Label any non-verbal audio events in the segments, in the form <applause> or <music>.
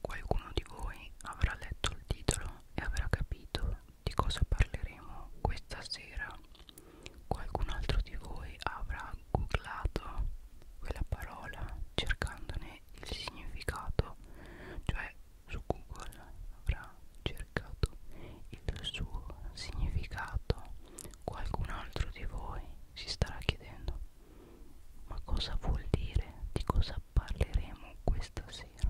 Qualcuno di voi avrà letto il titolo e avrà capito di cosa parleremo questa sera. Qualcun altro di voi avrà googlato quella parola cercandone il significato, cioè su Google avrà cercato il suo significato Qualcun altro di voi si starà chiedendo ma cosa vuol dire, di cosa parleremo questa sera?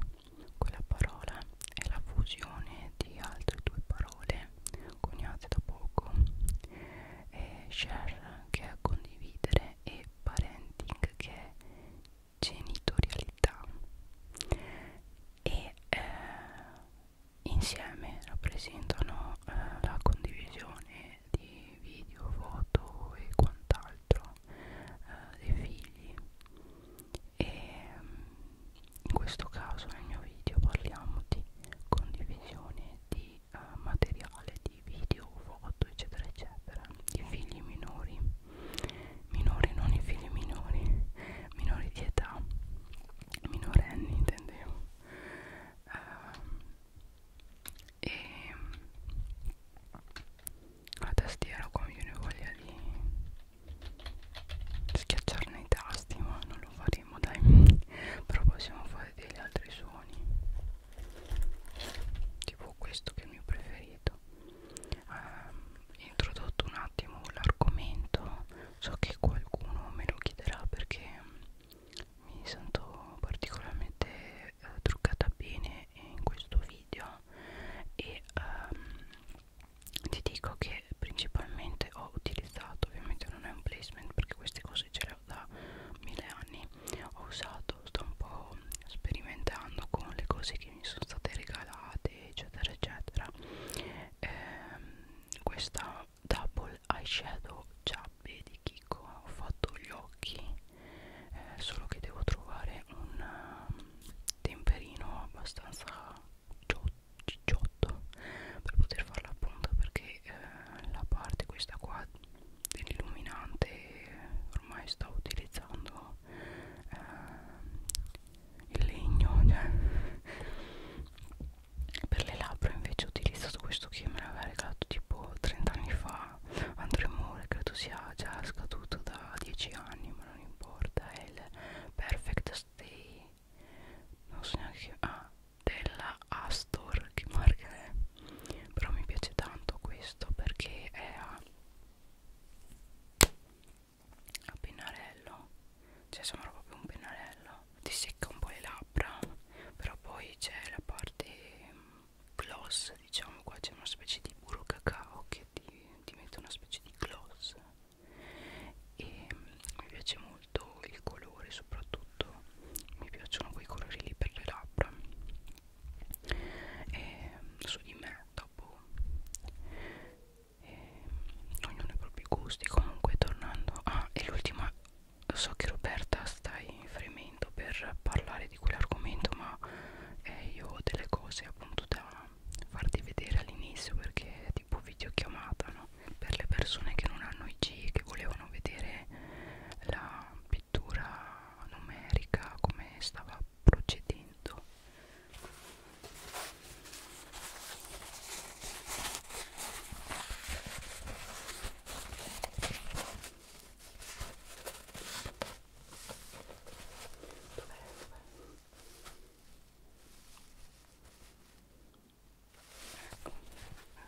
Quella parola è la fusione di altre due parole coniate da poco, è share che è condividere e parenting che è genitorialità e eh, insieme rappresentano eh, la condivisione di video, foto e quant'altro eh, dei figli e mm, in questo caso nel mio video parliamo di condivisione di eh, materiale di video, foto eccetera eccetera di figli minori minori non i figli minori minori di età minorenni intendevo eh, e la tastiera qua mi viene voglia di schiacciarne i tasti ma non lo faremo dai <laughs> però possiamo fare degli altri suoni tipo questo che è il mio preferito eh, introdotto un attimo l'argomento so che qualcuno me lo chiederà perché mi sento particolarmente eh, truccata bene in questo video e ehm, ti dico che principalmente ho utilizzato ovviamente non è un placement perché queste cose ce le ho da mille anni ho usato sto un po' sperimentando con le cose che mi sono state regalate eccetera eccetera ehm, questa double eyeshadow giappe di Kiko ho fatto gli occhi eh, solo che devo trovare un uh, temperino abbastanza cicciotto per poter fare la punta perché eh, la parte questa qua dell'illuminante ormai sto utilizzando eh, il legno cioè per le labbra invece ho utilizzato questo che me l'aveva regalato tipo 30 anni fa Andremore credo sia già scaduto da 10 anni ma non importa è il Perfect Stay non so neanche che ah della Astor che marca è però mi piace tanto questo perché è a a pennarello cioè sembra proprio un pennarello ti secca un po' le labbra però poi c'è la parte mm, gloss diciamo qua c'è una specie di burro cacao che ti, ti mette una specie di gloss e mm, mi piace molto il colore soprattutto mi piacciono quei colori lì per le labbra e mm, su di me dopo e ognuno ha i propri gusti comunque tornando ah e l'ultima so che Roberta stai fremendo per parlare di quell'argomento ma eh, io ho delle cose appunto da farti vedere all'inizio perché è tipo videochiamata no? per le persone che non hanno IG che volevano vedere la pittura numerica come stava procedendo Ecco,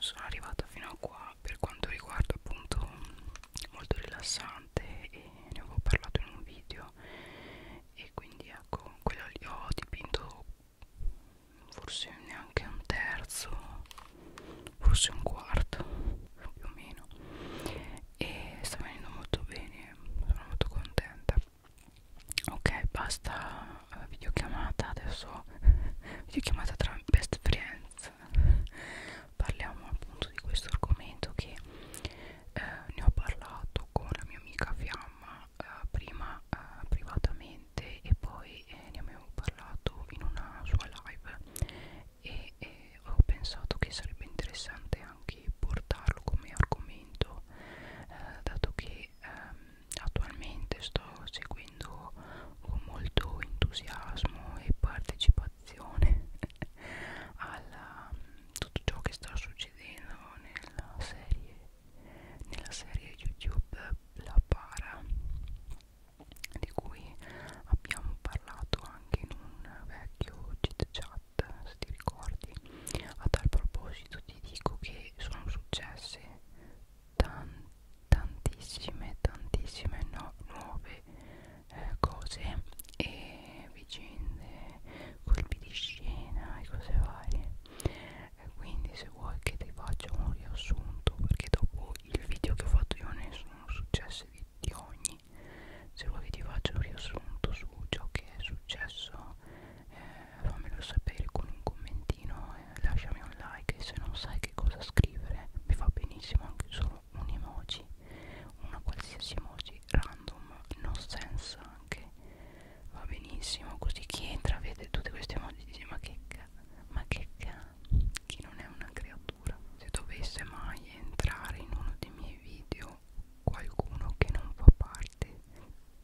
sono arrivata fino a qua per quanto riguarda appunto molto rilassante e ne avevo parlato in un video e quindi ecco, quello lì ho dipinto forse neanche un terzo forse un quarto più o meno e sta venendo molto bene sono molto contenta ok basta eh, videochiamata adesso <laughs> videochiamata tra best friends parliamo appunto di questo argomento che eh, ne ho parlato con la mia amica Fiamma eh, prima eh, privatamente e poi eh, ne avevo parlato in una sua live e eh, ho pensato che sarebbe interessante anche portarlo come argomento eh, dato che ehm, attualmente sto seguendo con molto entusiasmo e partecipazione <laughs> a mm, tutto ciò che sta succedendo nella serie nella serie YouTube La Para di cui abbiamo parlato anche in un vecchio chit chat se ti ricordi a tal proposito ti dico che sono successe tan tantissime tantissime no, nuove eh, cose e vicende colpi di scena e cose varie e eh, quindi se vuoi che ti faccia un riassunto perché dopo il video che ho fatto io ne sono successi di, di ogni se vuoi che ti faccia un riassunto su ciò che è successo eh, fammelo sapere con un commentino eh, lasciami un like e se non sai che cosa scrivere mi fa benissimo anche solo un emoji una qualsiasi emoji random no sense anche va benissimo così chi entra vede tutte queste emoji e dice ma che ca ma che ca chi non è una creatura se dovesse mai entrare in uno dei miei video qualcuno che non fa parte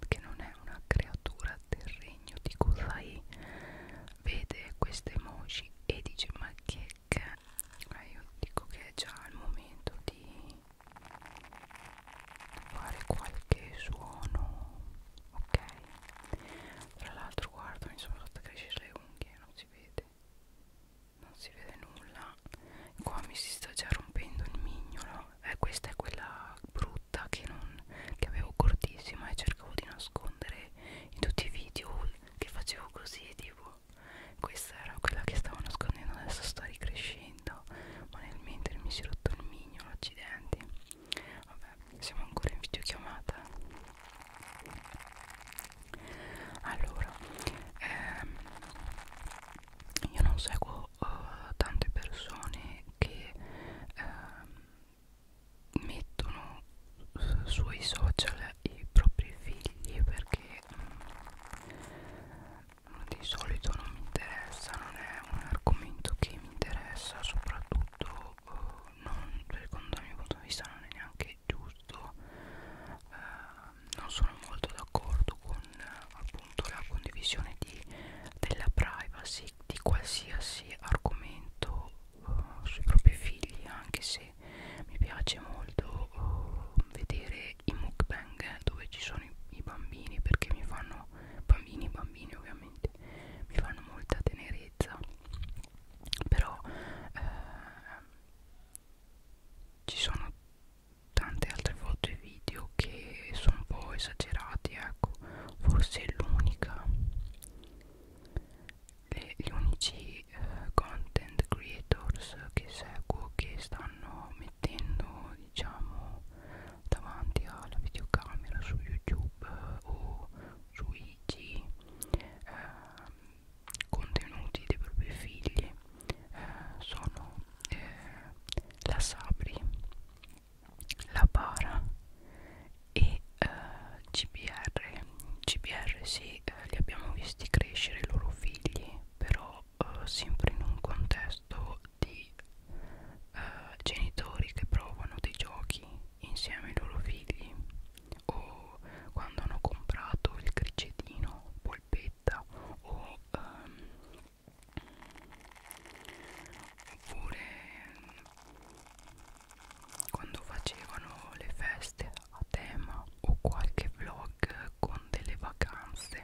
che non è una creatura del regno di Kuzai vede queste emoji e dice ma che ca eh, io dico che è già il momento di fare qualche suono ok tra l'altro guarda mi sono fatta crescere le unghie non si vede non si vede nulla qua mi si sta già rompendo il mignolo eh, questa è quella brutta che, non, che avevo cortissima e cercavo di nascondere in tutti i video che facevo così tipo questa era quella che stavo nascondendo adesso sto ricrescendo ma nel mentre mi si è rotto il mignolo accidenti Vabbè, siamo ancora in videochiamata. Allora, ehm, io non seguo uh, tante persone che uh, mettono uh, sui social i propri figli perché um, di solito non mi interessa, non è un argomento che mi interessa soprattutto eh, non, secondo il mio punto di vista non è neanche giusto eh, non sono molto d'accordo con eh, appunto la condivisione di, della privacy di qualsiasi argomento eh, sui propri figli anche se mi piace molto eh, vedere i mukbang dove ci sono i, i bambini perché mi fanno bambini bambini ovviamente sentiti mi fanno molta tenerezza però eh, ci sono tante altre foto e video che sono un po' esagerati ecco forse l'unica gli unici eh, content creators che seguo che stanno mettendo diciamo davanti alla videocamera su youtube eh, o su IG eh, contenuti dei propri figli eh, sono eh, la Sabri, la Para e eh, GBR. GBR sì, eh, li abbiamo visti crescere i loro figli, però eh, sempre in un contesto di eh, genitori che provano dei giochi insieme ai loro figli o quando hanno comprato il cricetino, polpetta o ehm, oppure mm, quando facevano le feste a tema o qualche vlog con delle vacanze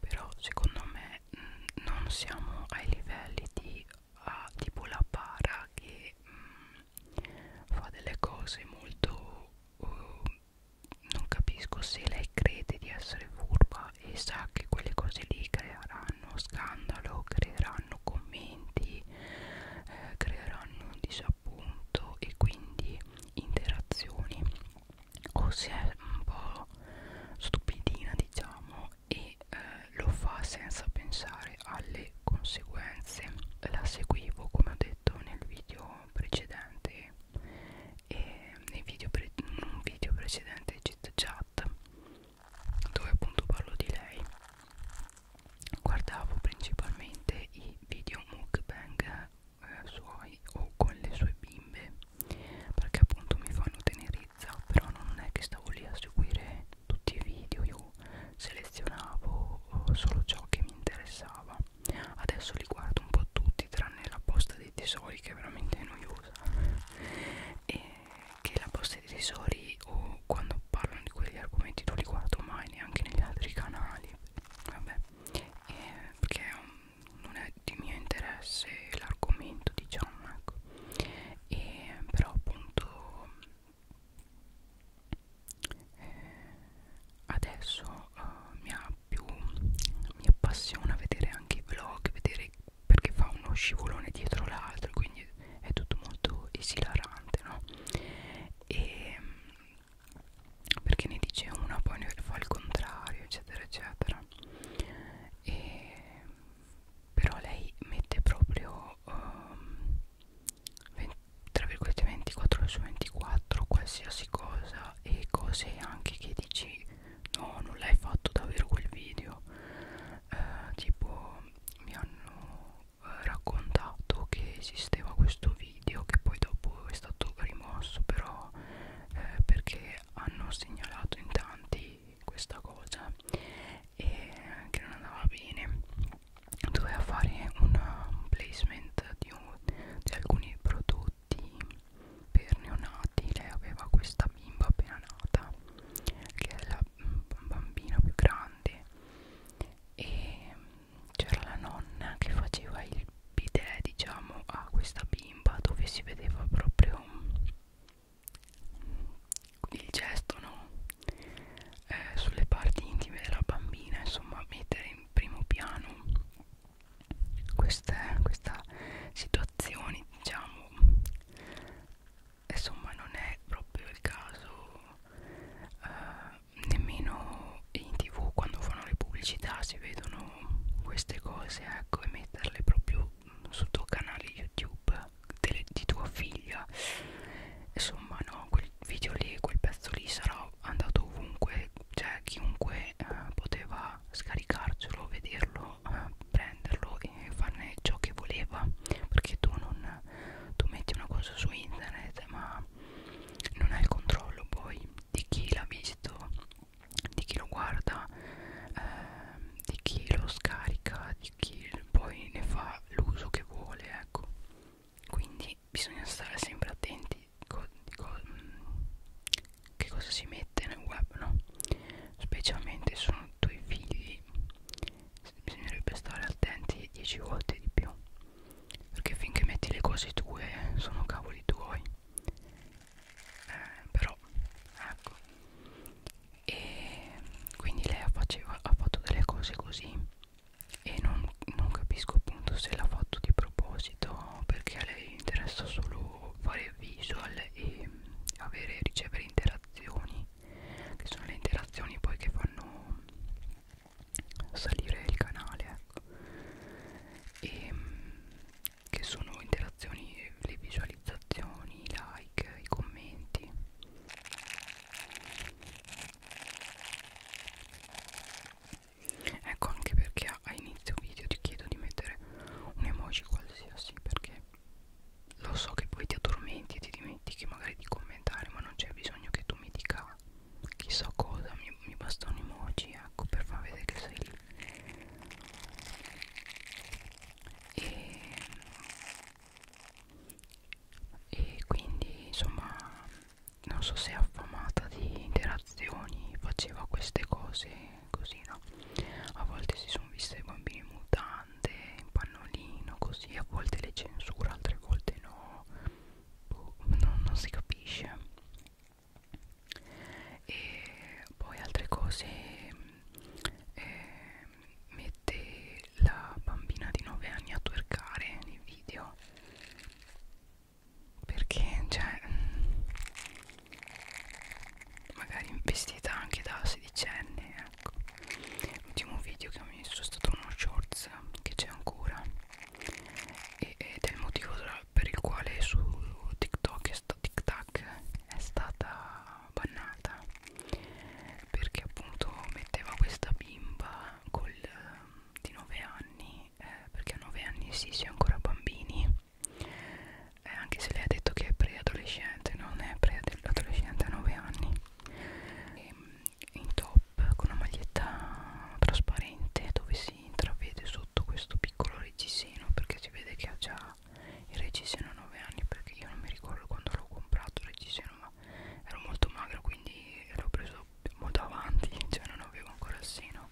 però secondo me mm, non siamo ai livelli di ha tipo la para che mh, mm, fa delle cose molto uh, non capisco se lei crede di essere furba e sa che quelle cose lì creeranno scandalo creeranno commenti eh, creeranno un disappunto e quindi interazioni o se è un po' stupidina diciamo e eh, lo fa senza pensare alle conseguenze la seguivo come ho detto nel video precedente e nei video pre in un video precedente Chit Chat dove appunto parlo di lei guardavo principalmente i video mukbang eh, suoi o con le sue bimbe perché appunto mi fanno tenere utilizza però non è che stavo lì a seguire tutti i video io selezionavo eh, solo ciò che mi interessava adesso li guardo un po' tutti tranne la posta dei tesori che è veramente noiosa e che la posta dei tesori o oh, quando parlano di quegli argomenti non li guardo mai neanche negli altri canali vabbè eh, perché um, non è di mio interesse l'argomento diciamo ecco e però appunto eh, adesso eh, mi ha più mi appassiona vedere anche i vlog vedere perché fa uno scivolone dietro l'altro quindi è tutto molto esilarante no e perché ne dice una poi ne fa il contrario eccetera eccetera e però lei mette proprio um, ehm, 20, tra virgolette 24 ore su 24 qualsiasi cosa e cose anche che dici no non l'hai fatto davvero quel video uh, tipo mi hanno eh, raccontato che esisteva questo video che poi dopo è stato rimosso però eh, perché hanno segnalato in tanti di questa cosa e che non andava bene doveva fare una, un placement di, un, di alcuni prodotti per neonati lei aveva questa bimba appena nata che è la bambina più grande e c'era la nonna che faceva il bidet diciamo a questa bimba dove si vedeva proprio il gesto no? eh, sulle parti intime della bambina insomma mettere in primo piano queste, questa situazione diciamo insomma non è proprio il caso eh, nemmeno in tv quando fanno le pubblicità si vedono queste cose ecco e metterle proprio tuo, sul tuo canale youtube delle, di tua figlia insomma no quel video lì quel pezzo lì sarà andato ovunque cioè chiunque eh, poteva scaricarcelo vederlo eh, prenderlo e farne ciò che voleva perché tu non tu metti una cosa su internet ma non hai il controllo poi di chi l'ha visto di chi lo guarda, eh, di chi lo scarica, di chi poi ne fa l'uso che vuole, ecco. Quindi bisogna stare sempre attenti di co di co mm, che cosa si mette nel web, no? Specialmente sono tuoi figli, bisognerebbe stare attenti 10 volte di più, perché finché metti le cose tue eh, sono cavoli tuoi. Eh, però ecco e quindi lei faceva, ha fatto delle cose così e non, non capisco appunto se l'ha fatto di proposito perché a lei interessa solo fare visual e avere, ricevere interazioni che sono le interazioni poi che fanno salire il canale ecco e che sono interazioni, le visualizzazioni, i like, i commenti ecco anche perché a inizio video ti chiedo di mettere un emoji qualsiasi perché lo so che poi ti addormenti e ti dimentichi magari di commentare ma non c'è bisogno che tu mi dica chissà cosa mi, mi basta un emoji ecco per far vedere che sei lì e, e quindi insomma non so se affamata di interazioni faceva queste cose così no a volte si sono viste bambini in mutande in pannolino così a volte le censura altre volte no boh, non, non si capisce e poi altre cose eh, mette la bambina di 9 anni a twerkare nei video perché cioè mm, magari investita anche da sedicenne ecco l'ultimo video che ho messo è stato uno shorts che c'è ancora e, ed è il motivo per il quale su TikTok questa tic tac è stata bannata perché appunto metteva questa bimba col, di 9 anni eh, perché a 9 anni sì, si è ancora bambini eh, anche se lei ha detto che è preadolescente non è preadolescente a 9 anni e, ehm, in top con una maglietta trasparente dove si intravede sotto questo piccolo reggiseno perché si vede che ha già il reggiseno a 9 anni perché io non mi ricordo quando l'ho comprato il reggiseno ma ero molto magro quindi l'ho preso molto avanti <laughs> cioè non avevo ancora il seno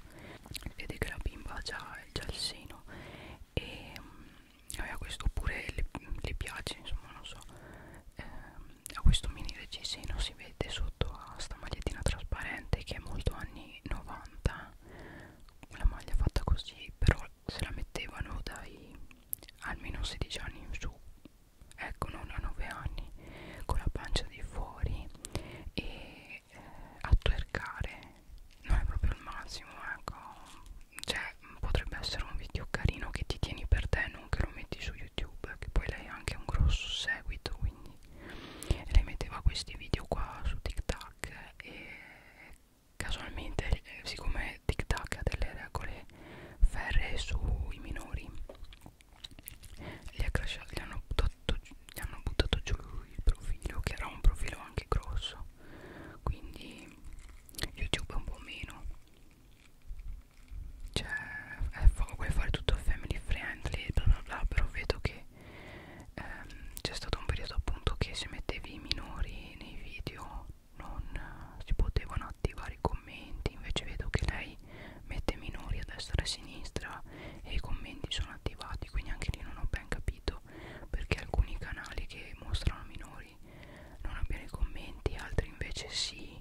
vede che la bimba ha già, già il seno e mm, aveva questo oppure le, le piace insomma non so eh, a questo mini reggiseno si vede sotto a sta magliettina trasparente che è molto anni 90 la maglia fatta così però se la mettevano dai almeno 16 anni in su ecco non a 9 anni con la pancia di fuori e eh, a twerkare non è proprio il massimo ecco cioè potrebbe essere un video carino che ti tieni per te non che lo metti su youtube che poi lei ha anche un grosso seguito quindi lei metteva questi video qua su tiktok e casualmente eh, siccome Tic Tac ha delle regole ferre sui minori gli, ha crashato, gli, hanno buttato, gli hanno buttato giù il profilo che era un profilo anche grosso quindi youtube un po' meno cioè vuoi fare tutto family friendly bla bla bla però vedo che ehm, c'è stato un periodo appunto che se mettevi i minori nei video non eh, si potevano attivare i commenti invece vedo che lei mette minori a destra e a sinistra e i commenti sono attivati quindi anche lì non ho ben capito perché alcuni canali che mostrano minori non abbiano i commenti altri invece sì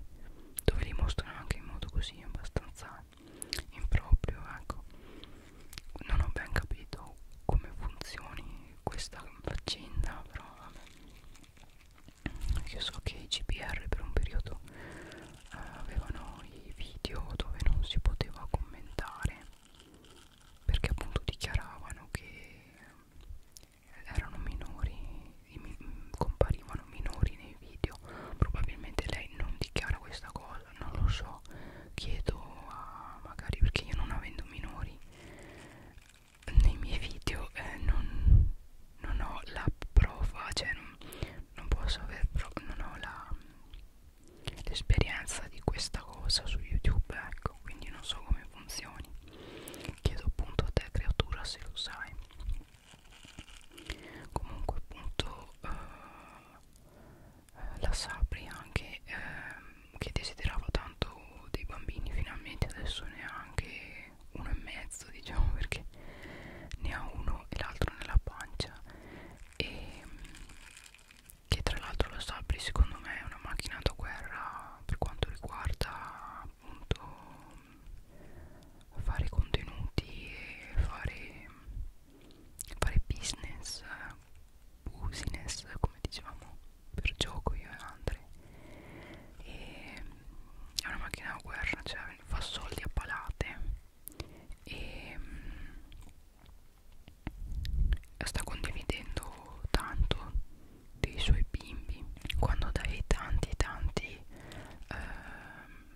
dove li mostrano anche in modo così abbastanza improprio ecco non ho ben capito come funzioni questa faccenda però vabbè. io so che i GPR per un periodo eh, avevano i video dove non si poteva commentare perché appunto dichiaravano che erano minori comparivano minori nei video probabilmente lei non dichiara questa cosa non lo so chiedo a magari perché io non avendo minori nei miei video eh, non, non ho la prova cioè non, non posso aver non ho l'esperienza di questa cosa su youtube ecco quindi non so come funzioni chiedo appunto a te creatura se lo sai comunque appunto eh, eh, la Sapri anche ehm, che desiderava tanto dei bambini finalmente adesso ne ha anche uno e mezzo diciamo <laughs> perché ne ha uno e l'altro nella pancia e che tra l'altro la Sapri secondo me è una macchina da guerra per quanto riguarda appunto fare contenuti e fare fare business business come dicevamo per gioco io e Andre e è una macchina da guerra cioè fa soldi a palate e mm, sta condividendo tanto dei suoi bimbi quando dai tanti tanti ehm,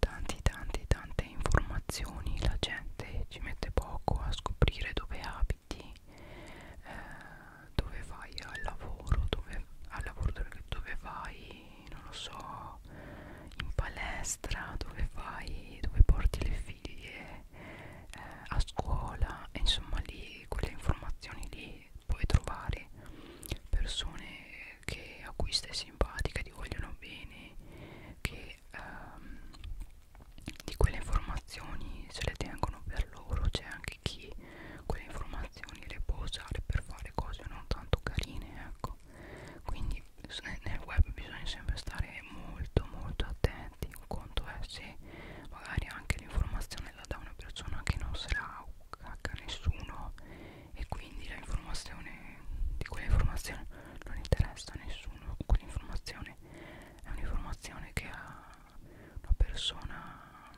tanti tanti tante informazioni la gente ci mette poco a scoprire dove abiti eh, dove vai al lavoro dove, al lavoro dove vai non lo so in palestra dove vai dove porti le figlie eh, a scuola e insomma lì quelle informazioni lì puoi trovare persone che a cui stai simpatica ti vogliono bene che ehm, di quelle informazioni se le tengono per loro c'è anche chi quelle informazioni le può usare per fare cose non tanto carine ecco quindi eh, nel web bisogna sempre stare molto molto attenti un conto è se magari anche l'informazione la dà una persona che non se la cacca nessuno e quindi la informazione di quell'informazione non interessa a nessuno quell'informazione è un'informazione che ha una persona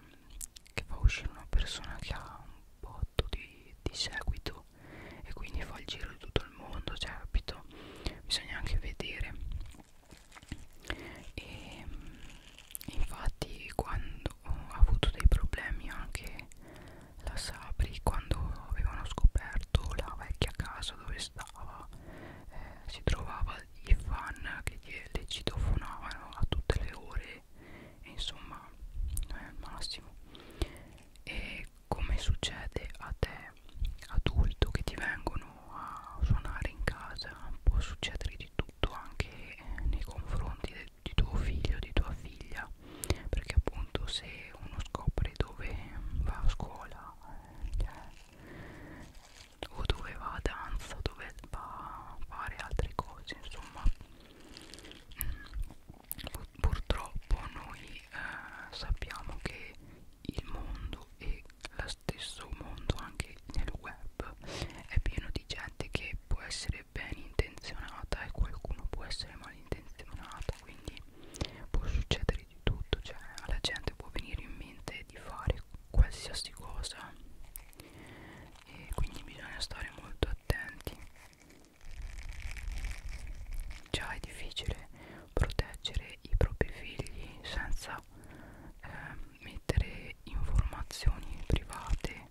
che fa uscire una persona che ha un botto di, di seguito e quindi fa il giro di tutto il mondo cioè capito bisogna anche vedere e infatti quando ha avuto dei problemi anche la Sabri quando avevano scoperto la vecchia casa dove stava eh, si trovava i fan che le citofonavano a tutte le ore e insomma non è il massimo e come succede a te adulto che ti vengono a suonare in casa può succedere di tutto anche eh, nei confronti de, di tuo figlio di tua figlia perché appunto se uno scopre dove va a scuola cioè, o dove va a danza o dove va a fare altre cose insomma mm, purtroppo noi eh, sappiamo che il mondo e lo stesso mondo anche nel web è pieno di gente che può essere ben intenzionata e qualcuno può essere malintenzionata quindi può succedere di tutto cioè alla gente può venire in mente di fare qualsiasi cosa e quindi bisogna stare molto attenti già è difficile proteggere i propri figli senza eh, mettere informazioni private eh,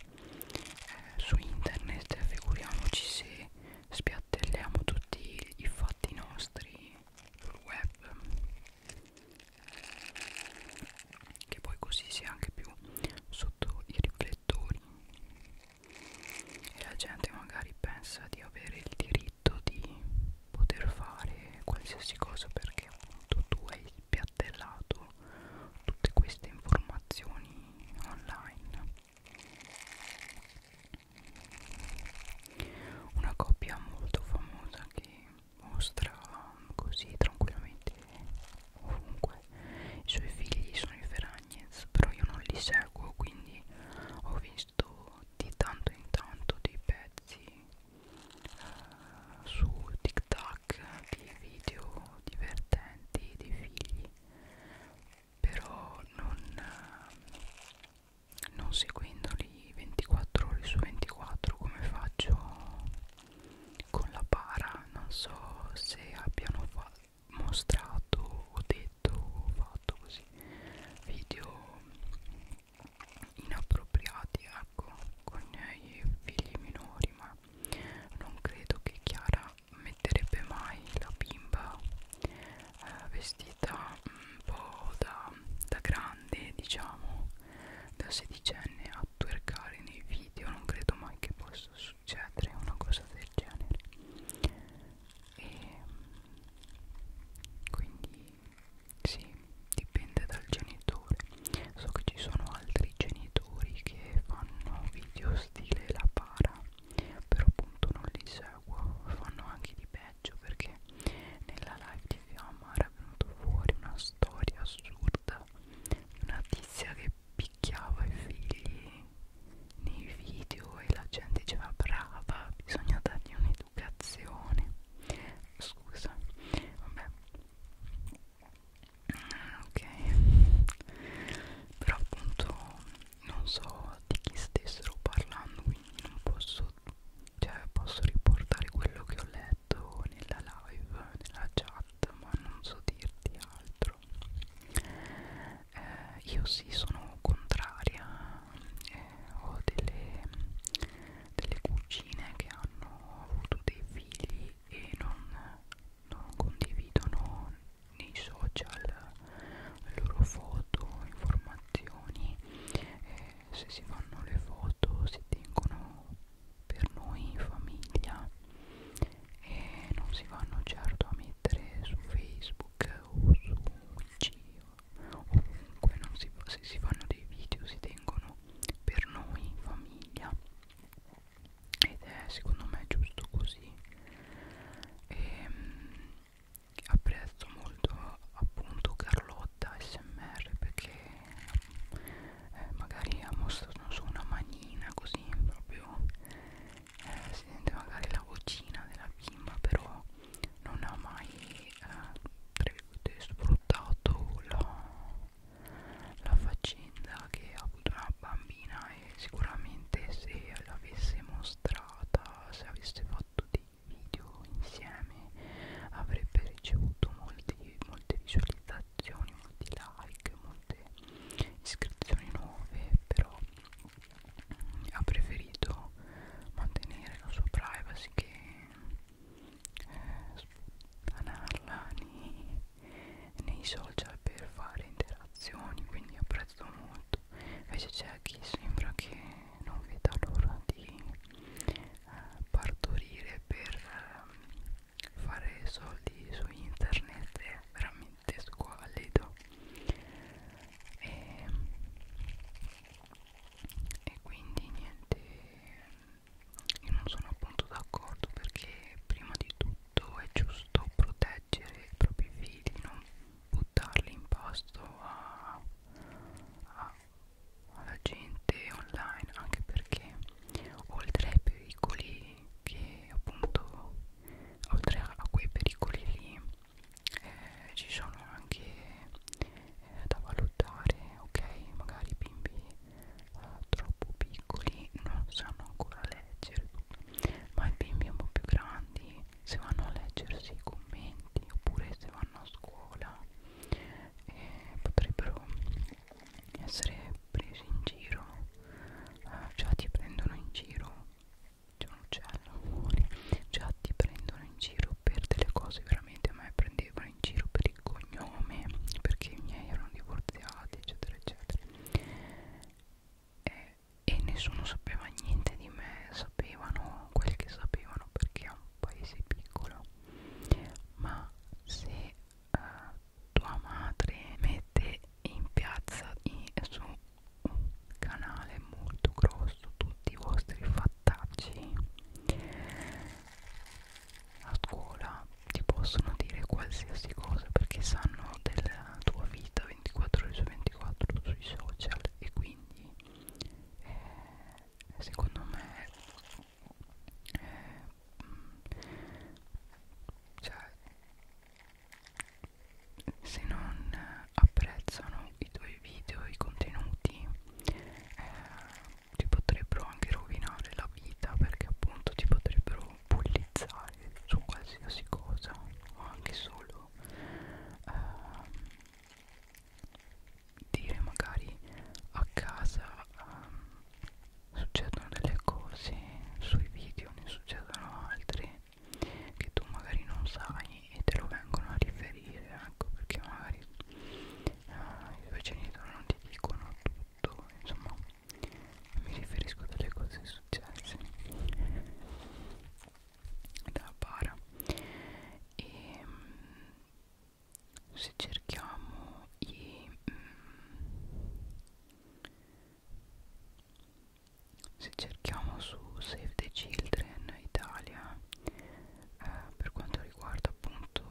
su internet figuriamoci se spiattelliamo tutti i fatti nostri sul web che poi così si è anche più sotto i riflettori e la gente magari pensa di avere il diritto di poter fare qualsiasi cosa perché appunto tu hai spiattellato tutte queste informazioni online una coppia molto famosa che mostra così tranquillamente ovunque i suoi figli sono i Feragnez però io non li seguo quindi ho visto di tanto in tanto dei pezzi uh, su TikTok di video divertenti dei figli però non, non seguendoli 24 ore su 24 come faccio con la para non so se abbiano mostrato o detto o fatto così video inappropriati ecco con i figli minori ma non credo che Chiara metterebbe mai la bimba eh, vestita un po' da, da grande diciamo da sedicenne a twerkare nei video non credo mai che possa succedere una cosa del genere e quindi sì dipende dal genitore so che ci sono altri genitori che fanno video stile la para però appunto non li seguo fanno anche di peggio perché nella live di Fiamma era venuto fuori una storia assurda di una tizia che picchiava i figli nei video e la gente diceva brava bisogna dargli un'educazione scusa vabbè ok però appunto non so di chi stessero parlando quindi non posso cioè posso riportare quello che ho letto nella live nella chat ma non so dirti altro eh, io sì sono contraria eh, ho delle, delle cugine che hanno avuto dei figli e non, non condividono nei social le loro foto, informazioni eh, se si fanno le foto si tengono per noi in famiglia e non si vanno certo a mettere su Facebook o su Wiki ovunque non si, se si fanno dei video si tengono per noi in famiglia ed è secondo me giusto così e, ehm, apprezzo molto appunto Carlotta smr perché eh, magari ha mostrato su una manina così proprio eh, si sente magari la vocina della bimba però non ha mai eh, sfruttato la, la faccenda che ha avuto una bambina e sicuramente se l'avesse mostrata se avesse fatto fatto dei video insieme avrebbe ricevuto molti, molte visualizzazioni, molti like, molte iscrizioni nuove, però ha preferito mantenere la sua privacy che eh, sputanarla nei, nei social per fare interazioni quindi apprezzo molto invece c'è chi sembra che non veda l'ora di eh, partorire per eh, fare soldi su internet è veramente squallido e, e quindi niente io non sono appunto d'accordo perché prima di tutto è giusto proteggere i propri figli non buttarli in pasto a, a, alla gente online anche perché oltre ai pericoli che appunto oltre a, a quei pericoli lì eh, ci sono anche eh, da valutare ok magari i bimbi eh, troppo piccoli non sanno ancora leggere ma i bimbi un po' più grandi se vanno a leggersi i commenti oppure se vanno a scuola eh, potrebbero essere presi in giro eh, già ti prendono in giro c'è un uccello fuori già ti prendono in giro per delle cose veramente a me prendevano in giro per il cognome perché i miei erano divorziati eccetera eccetera e eh, e nessuno sapeva niente di me, sapevano quel che sapevano perché è un paese piccolo, ma se eh, tua madre mette in piazza in, su un canale molto grosso tutti i vostri fattacci a scuola ti possono dire qualsiasi cosa perché sanno della tua vita 24 ore su 24 sui social e quindi eh, secondo me eh, cioè, se non apprezzano i tuoi video, i contenuti eh, ti potrebbero anche rovinare la vita perché appunto ti potrebbero bullizzare su qualsiasi cosa o anche solo potuto ehm, dire magari a casa ehm, succedono delle cose sui video ne succedono altre che tu magari non sai e te lo vengono a riferire ecco perché magari eh, i tuoi genitori non ti dicono tutto insomma mi riferisco a delle cose successe da bara e mm, se cerchiamo i mm, se cerchiamo su Save the Children Italia eh, per quanto riguarda appunto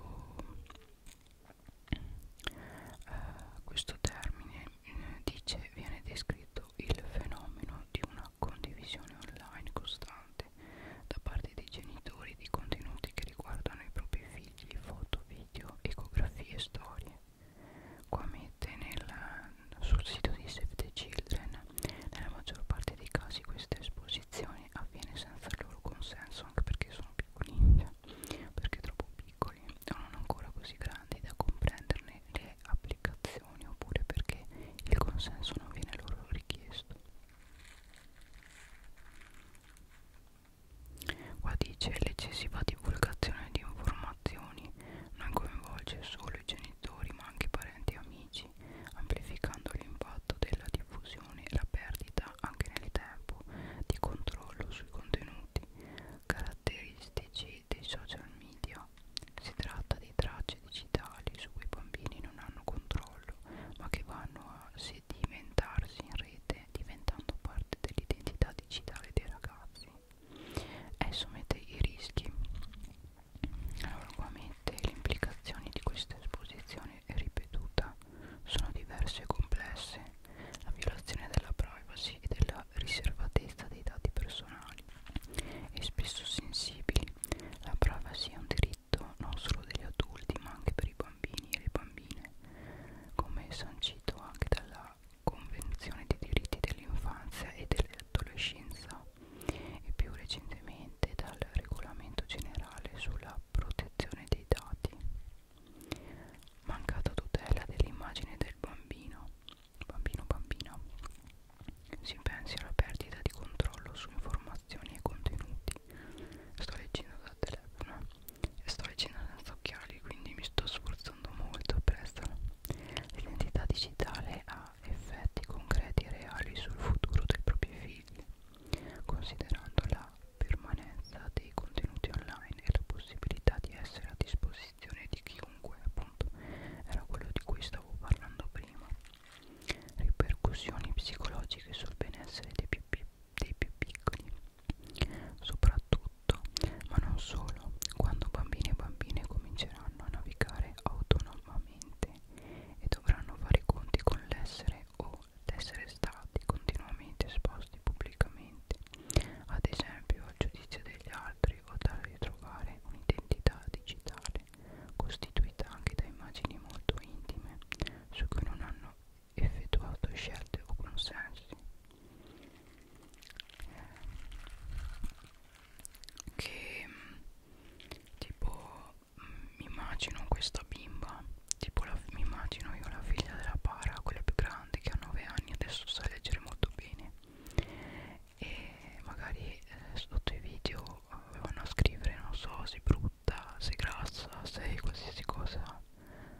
eh, questo termine eh, dice viene descritto il fenomeno di una condivisione online costante da parte dei genitori di contenuti che riguardano i propri figli, foto, video, ecografie e storie. Qua mette nel, sul sito di Save the Children, nella maggior parte dei casi questa esposizione avviene senza il loro consenso, anche perché sono piccolini, perché troppo piccoli o non ancora così grandi da comprenderne usare le applicazioni oppure perché il consenso non viene loro richiesto. Qua dice l'eccessiva divulgazione di informazioni non coinvolge solo i genitori ma anche parenti e amici, amplificando l'impatto della diffusione e la perdita anche nel tempo di controllo sui contenuti caratteristici dei social media. Si tratta di tracce digitali su cui i bambini non hanno controllo, ma che vanno a sedimentarsi in rete, diventando parte dell'identità digitale dei ragazzi. Esso mette i rischi. Allora qua mette le implicazioni di questa esposizione ripetuta sono diverse e complesse. La violazione della privacy e della la riservatezza dei dati personali e spesso sensibili. La privacy è un diritto non solo degli adulti ma anche per i bambini e le bambine, come sancito anche dalla Convenzione dei diritti dell'infanzia e dell'adolescenza e più recentemente dal Regolamento generale sulla protezione dei dati. Mancata tutela dell'immagine del bambino. Bambino bambina si pensi alla perdita di controllo su informazioni e contenuti. Sto leggendo dal telefono eh. e sto leggendo senza occhiali, quindi mi sto sforzando molto per essere. L'identità digitale ha effetti concreti e reali sul futuro dei propri figli, considerando la permanenza dei contenuti online e la possibilità di essere a disposizione disposizione di chiunque, appunto, era quello di cui stavo parlando prima. Ripercussioni psicologiche sul benessere dei più, dei più piccoli, soprattutto, ma non solo, quando bambini e bambine cominceranno a navigare autonomamente e dovranno fare i conti con l'essere o l'essere stati continuamente esposti pubblicamente, ad esempio al giudizio degli altri ricordare di trovare un'identità digitale costituita anche da immagini molto intime su cui non hanno effettuato scelte o consensi che mm, tipo mm, mi immagino questa bimba tipo la, mi immagino io la figlia della para quella più grande che ha 9 anni adesso sa leggere molto bene e magari eh, sotto i video eh, vanno a scrivere non so sei brutta, sei grassa, sei qualsiasi cosa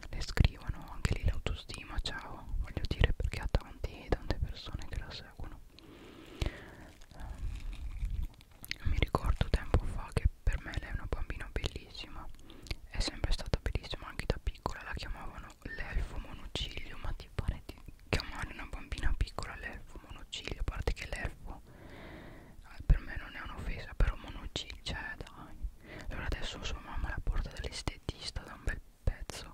le scrivono anche lì l'autostima ciao voglio dire perché ha tanti, tante persone che la seguono um, mi ricordo tempo fa che per me lei è una bambina bellissima è sempre stata bellissima anche da piccola la chiamavano l'elfo monociglio ma ti pare di chiamare una bambina piccola l'elfo monociglio a parte che l'elfo eh, per me non è un'offesa però monociglio cioè dai allora adesso sua mamma la porta dall'estetista da un bel pezzo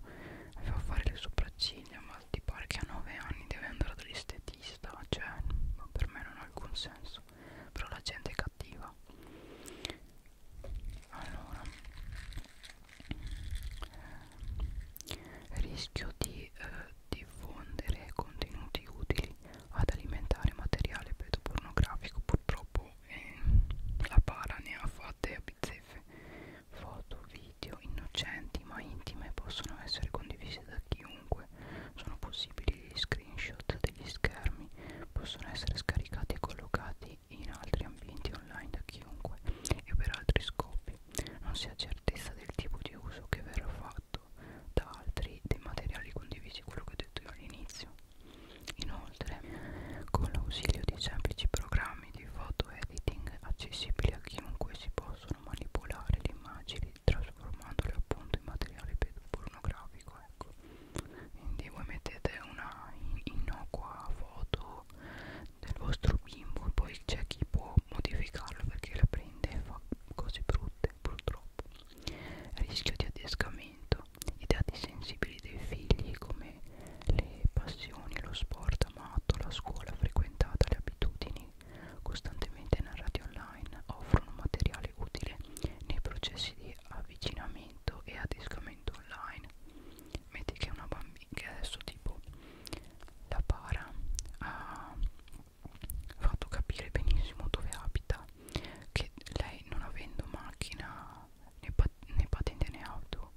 fa fare le sopracciglia ma ti pare che a 9 anni deve andare dall'estetista cioè per me non ha alcun senso però la gente è cattiva allora rischio di eh, diffondere contenuti utili ad alimentare materiale pedopornografico purtroppo eh, la para ne ha fatte a bizzeffe foto, video innocenti ma intime possono essere condivise da chiunque sono possibili gli screenshot degli schermi possono essere scaricati e collocati in altri ambienti online da chiunque e per altri scopi stampi non si ha certezza del tipo di uso che verrà fatto da altri dei materiali condivisi, quello che ho detto io all'inizio. Inoltre, con l'ausilio di semplici programmi di photo editing accessibili a chiunque si possono manipolare le immagini trasformandole appunto in materiale pornografico, ecco. Quindi voi mettete una innocua foto del vostro bimbo poi c'è chi può modificarlo perché la prende e fa cose brutte purtroppo rischio di adescamento i dati sensibili dei figli come le passioni lo sport amato la scuola frequentata le abitudini costantemente narrati online offrono materiale utile nei processi di avvicinamento e adescamento online metti che una bambina che adesso tipo la para ha fatto capire benissimo dove abita che lei non avendo macchina né, pat né patente né auto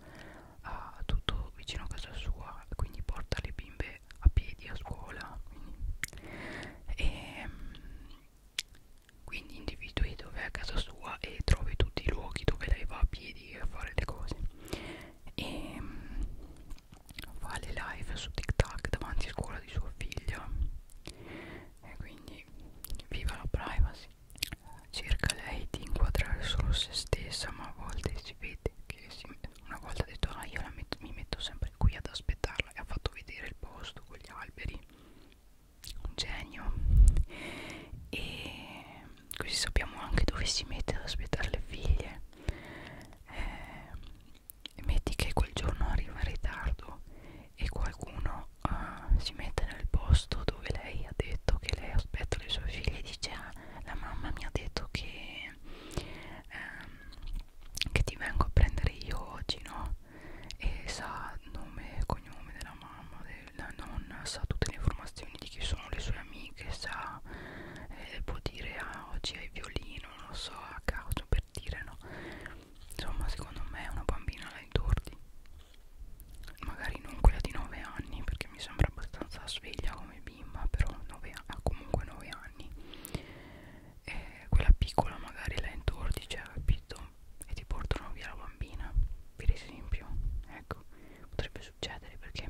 ha tutto vicino a casa sua quindi porta le bimbe a piedi a scuola quindi, e ehm, quindi individui dove è a casa sua e trovi tutti i luoghi dove lei va a piedi a fare le cose e mm, fa le live su TikTok davanti a scuola di suo figlio e quindi viva la privacy cerca lei di inquadrare solo se stessa ma a volte si vede che si, una volta ha detto ah io metto, mi metto sempre qui ad aspettarla e ha fatto vedere il posto con gli alberi un genio e così sappiamo anche dove si mette ad aspettare le figlie eh, metti che quel giorno arriva in ritardo e qualcuno eh, si mette nel posto dove lei ha detto che lei aspetta le sue figlie e dice ah, la mamma mi ha detto che, ehm, che ti vengo a prendere io oggi no e sa nome e cognome della mamma la nonna sa tutte le informazioni di chi sono le sue amiche, sa, eh, può dire ah, oggi hai violino, non lo so, a caso per dire no. Insomma, secondo me una bambina la intordi, magari non quella di 9 anni, perché mi sembra abbastanza sveglia come bimba, però nove, ha comunque 9 anni. E quella piccola magari la intordi, cioè, capito? E ti portano via la bambina, per esempio, ecco, potrebbe succedere perché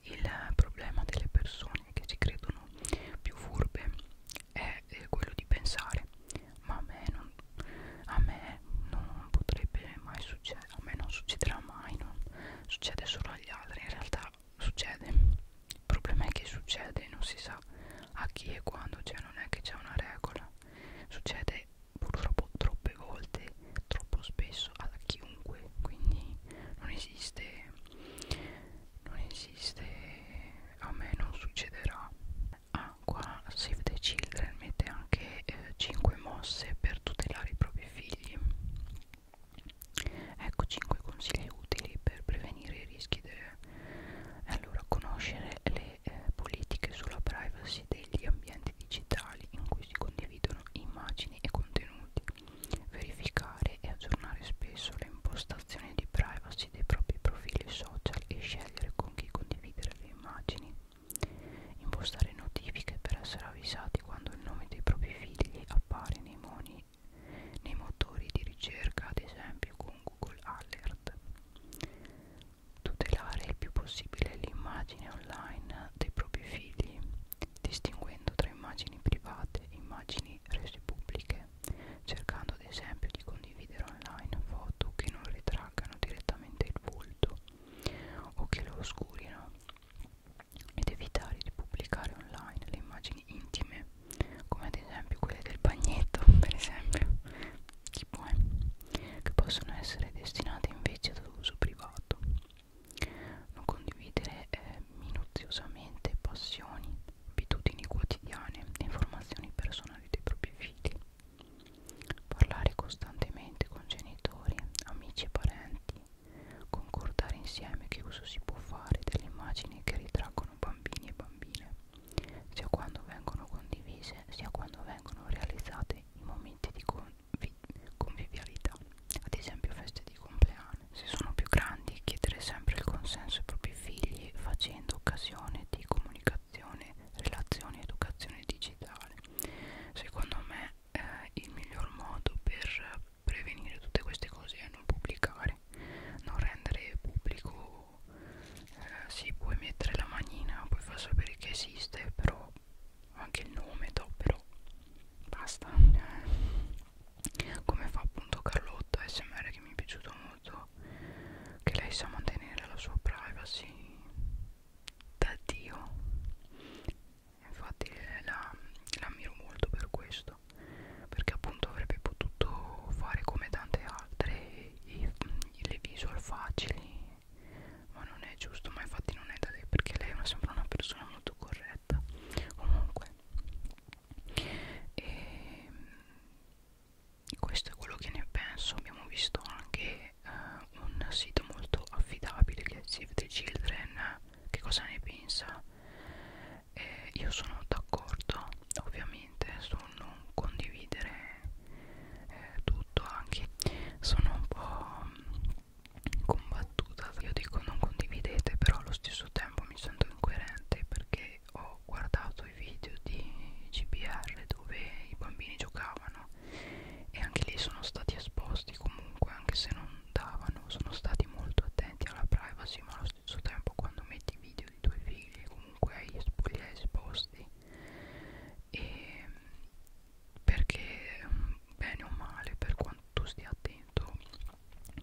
il problema delle persone che si credono più furbe è eh, quello di pensare ma a me non, a me non potrebbe mai succedere a me non succederà mai non succede solo agli altri in realtà succede il problema è che succede non si sa a chi e quando cioè non è che c'è una regola succede succede purtroppo troppe volte, troppo spesso a chiunque, quindi non esiste, non esiste, a me non succederà. Ah, qua Save the Children mette anche eh, 5 mosse per tutelare i propri figli. Ecco 5 consigli utili per prevenire i rischi. De... Allora, conoscere le eh, politiche sulla privacy degli ambienti ambienti digitali in cui si condividono immagini e contenuti, verificare e aggiornare spesso le impostazioni di privacy dei propri profili social e scegliere con chi condividere le immagini, impostare notifiche per essere avvisati quando il nome dei propri figli appare nei, moni, nei motori di ricerca, ad esempio con Google Alert tutelare il più possibile l'immagine online pagina dei propri figli, distinguendo tra immagini private e immagini rese pubbliche, cercando ad esempio di condividere online foto che non ritraggano direttamente il volto o che lo oscurino ed evitare di pubblicare online le immagini intime come ad esempio quelle del bagnetto <laughs> per esempio tipo, eh, che possono essere destinate invece ad uso privato non condividere eh, minuziosamente passioni, abitudini quotidiane e informazioni personali dei propri figli, parlare costantemente con genitori, amici e parenti, concordare insieme che uso si può fare delle immagini che ritraggono bambini e bambine, sia quando vengono condivise sia quando vengono realizzate in momenti di, con convivialità, ad esempio feste di compleanno. Se sono più grandi, chiedere sempre il consenso ai propri figli facendo occasione di comunicazione, relazione ed educazione digitale. Secondo me eh, il miglior modo per prevenire tutte queste cose è non pubblicare, non rendere pubblico, eh, sì puoi mettere la manina, puoi far sapere che esiste, però anche il nome do, però basta eh. come fa appunto Carlotta eh, smr che mi è piaciuto molto che lei sa mantenere la sua privacy da dio infatti eh, la, la ammiro molto per questo perché appunto avrebbe potuto fare come tante altre i, le visual facili ma non è giusto ma infatti non è da lei perché lei mi sembra una persona molto corretta comunque e ehm, questo è quello che ne penso abbiamo visto anche uh, un sito molto affidabile che è Save the Children che cosa ne pensa eh, io sono d'accordo ovviamente su non condividere eh, tutto anche sono un po' combattuta io dico non condividete però allo stesso tempo mi sento incoerente perché ho guardato i video di GBR dove i bambini giocavano e anche lì sono stati esposti comunque anche se non davano sono stati molto attenti alla privacy ma allo stesso tempo quando metti video di tuoi figli comunque li hai esposti e perché bene o male per quanto tu stia attento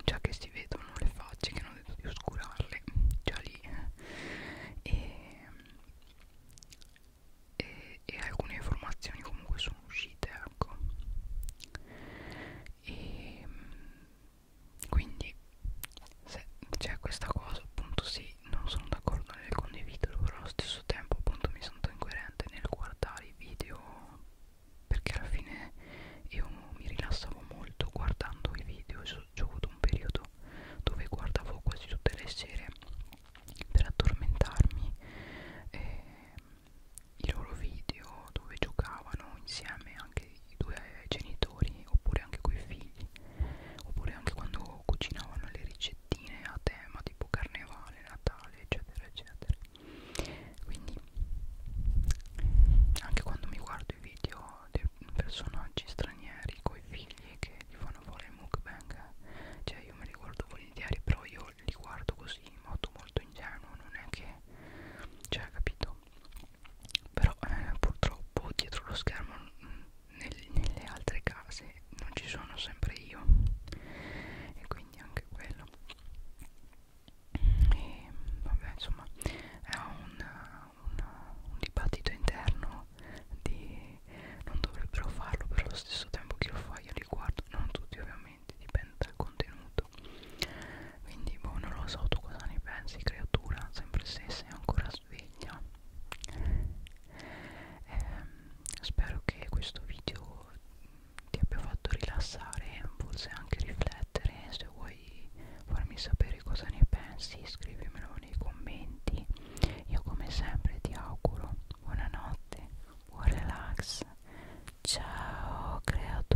già che si vedono le facce che hanno detto di oscurarle già lì eh. e, e, e alcune informazioni comunque sono uscite ecco e quindi se c'è questa cosa appunto sì non sono d'accordo fare nel condividerlo però allo stesso tempo appunto mi sento incoerente nel guardare i video perché alla fine io mi rilassavo molto guardando i video ho avuto un periodo dove guardavo quasi tutte le sere per addormentarmi eh, i loro video dove giocavano insieme anche i due genitori oppure anche coi figli oppure anche quando cucinavano le ricette etichettine a tema tipo carnevale, natale eccetera eccetera quindi anche quando mi guardo i video dei personaggi stranieri coi figli che gli fanno fare il mukbang cioè io me li guardo volentieri però io li guardo così in modo molto ingenuo non è che cioè capito però eh, purtroppo dietro lo schermo nel, nelle altre case se non ci sono sempre io e quindi anche quello e vabbè insomma è un, un, un dibattito interno di non dovrebbero farlo però allo stesso tempo chi lo fa io li guardo non tutti ovviamente dipende dal contenuto quindi boh non lo so tu cosa ne pensi creatura sempre se sei ancora sveglia ehm, spero che questo video ti abbia fatto rilassare forse anche riflettere se vuoi farmi sapere cosa ne pensi scrivimelo nei commenti io come sempre ti auguro buonanotte buon relax ciao creatura